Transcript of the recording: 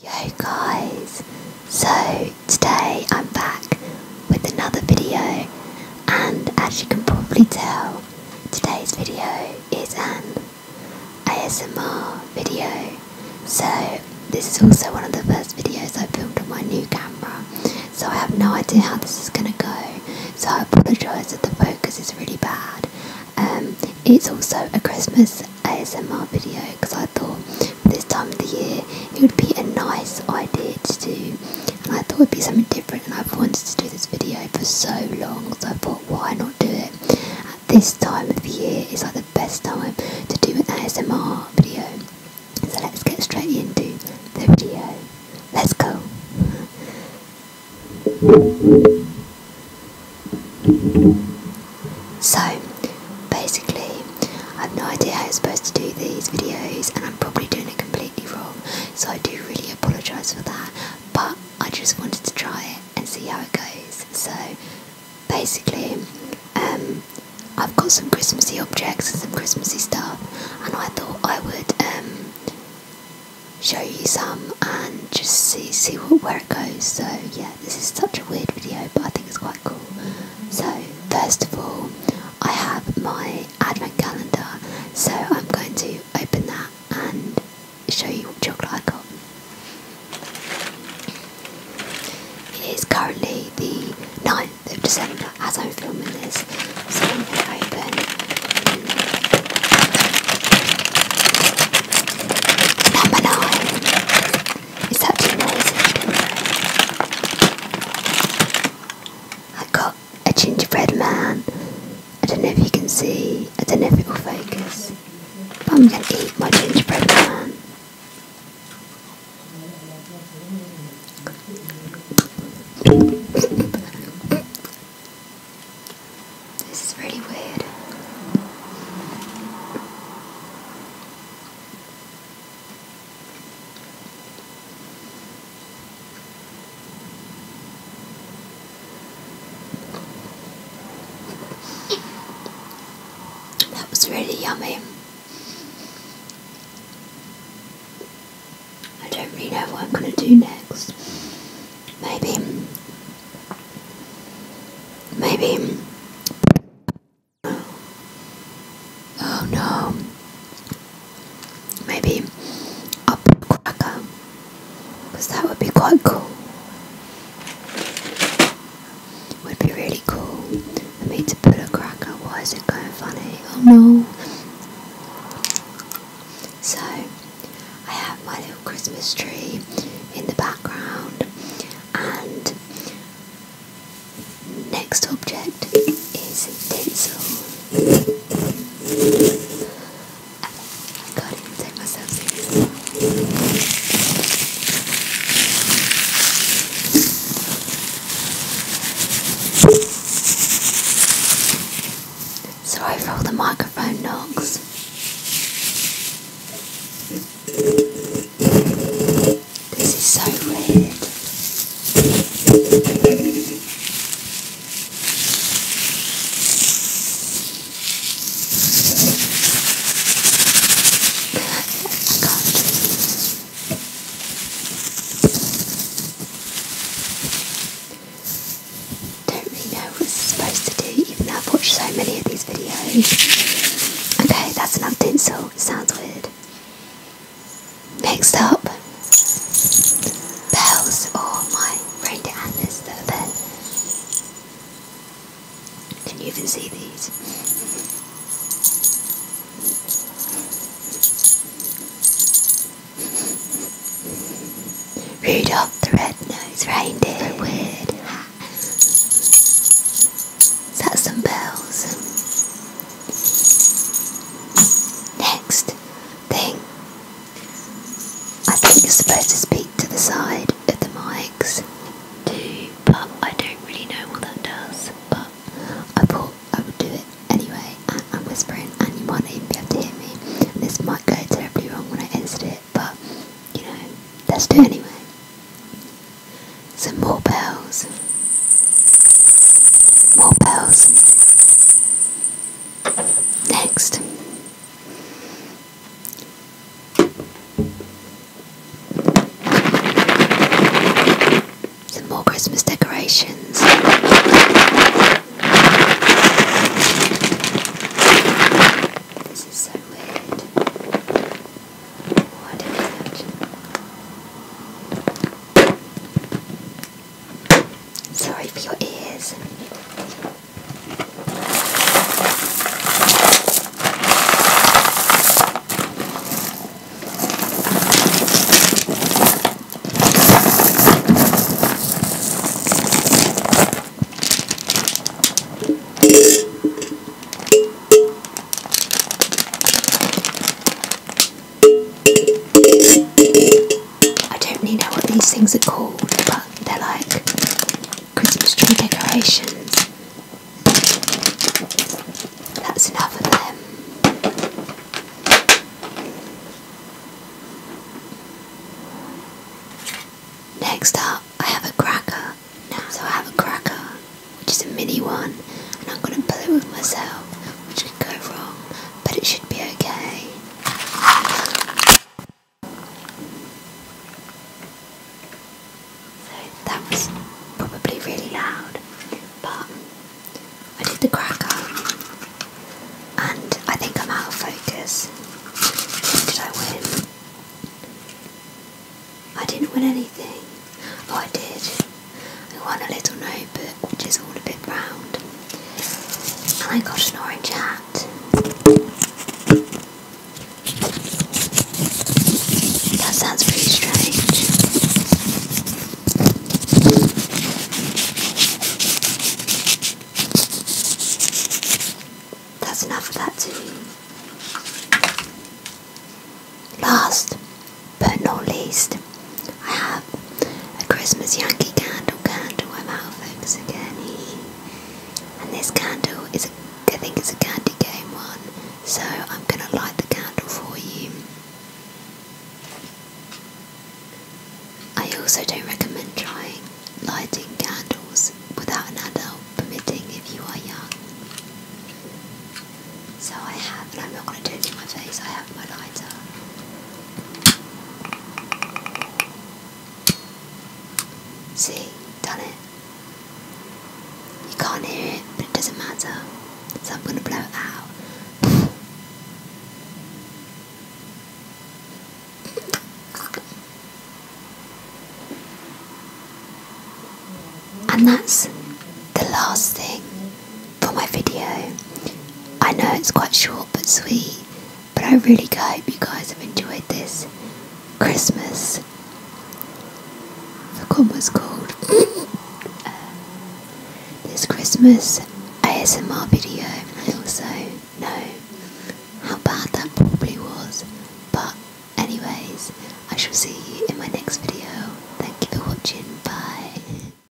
Yo guys, so today I'm back with another video and as you can probably tell today's video is an ASMR video so this is also one of the first videos I filmed on my new camera so I have no idea how this is gonna go so I apologise if the focus is really bad um, it's also a Christmas ASMR video because I thought this time of the year it would be a nice idea to do and I thought it would be something different and I've wanted to do this video for so long so I thought why not do it at this time of the year It's like the best time to do an ASMR video so let's get straight into the video let's go So basically, I have no idea how I'm supposed to do these videos, and I'm probably doing it completely wrong. So I do really apologise for that, but I just wanted to try it and see how it goes. So basically, um, I've got some Christmassy objects and some Christmassy stuff, and I thought I would um, show you some and just see see where it goes. So yeah, this is such a weird video, but I think it's quite cool. So first of all, I have my advent calendar, so I'm going to open that and show you what chocolate I got. It is currently the 9th of December as I'm filming this. So open. Number nine. Is that noisy? I got a gingerbread man. I don't know if you can see. I don't know if it will focus. But I'm going to eat my gingerbread man. This is really weird. That was really yummy. I don't really know what I'm going to do next. Maybe. Maybe. Oh no. Maybe I'll put cracker. Because that would be quite cool. Would be really cool for me to put a cracker. Why is it going funny? Oh no. So I have my little Christmas tree in the background and next object is tinsel. I can't take myself seriously. Sorry for all the microphone knocks. This is so weird. I don't really know what supposed to do, even though I've watched so many of these videos. Okay, that's another tinsel. Sounds weird. Next up, bells or oh, my reindeer antlers that are Can you even see these? Rudolph the Red-Nosed Reindeer weird hat. some bells. Next thing, I think you're supposed to speak to the side of the mics too, but I don't really know what that does. But I thought I would do it anyway, and I'm whispering, and you might not even be able to hear me. this might go terribly wrong when I edit it, but you know, let's do anyway. Some more bells, more bells. Next, some more Christmas decorations. This is so weird. What is it? Sorry for your ears. I don't really know what these things are called, but they're like Christmas tree decorations. That's enough of them. Next up, I have a cracker. so I have a cracker, which is a mini one, and I'm going to pull it with myself, which could go wrong, but it should be okay. So that was probably really loud, but I did the cracker and I think I'm out of focus. did I win? I didn't win anything. Oh, I did. I won a little notebook, which is all a bit round. And I got an orange hat that. sounds pretty strange. That's enough of that too. Last but not least, I have a Christmas Yankee candle candle. I'm out of focus again. And this candle is, a, I think, it's a Candy Game one. So I'm gonna light the candle for you. I also don't recommend trying lighting candles without an adult permitting if you are young. So I have, and I'm not going to do it in my face, I have my lighter. See, done it. You can't hear it, but it doesn't matter. So I'm gonna blow it out. And that's the last thing for my video. I know it's quite short but sweet, but I really hope you guys have enjoyed this Christmas. The one was called uh, This Christmas ASMR video. I also know how bad that probably was, but anyways, I shall see you in my next video. Thank you for watching. Bye.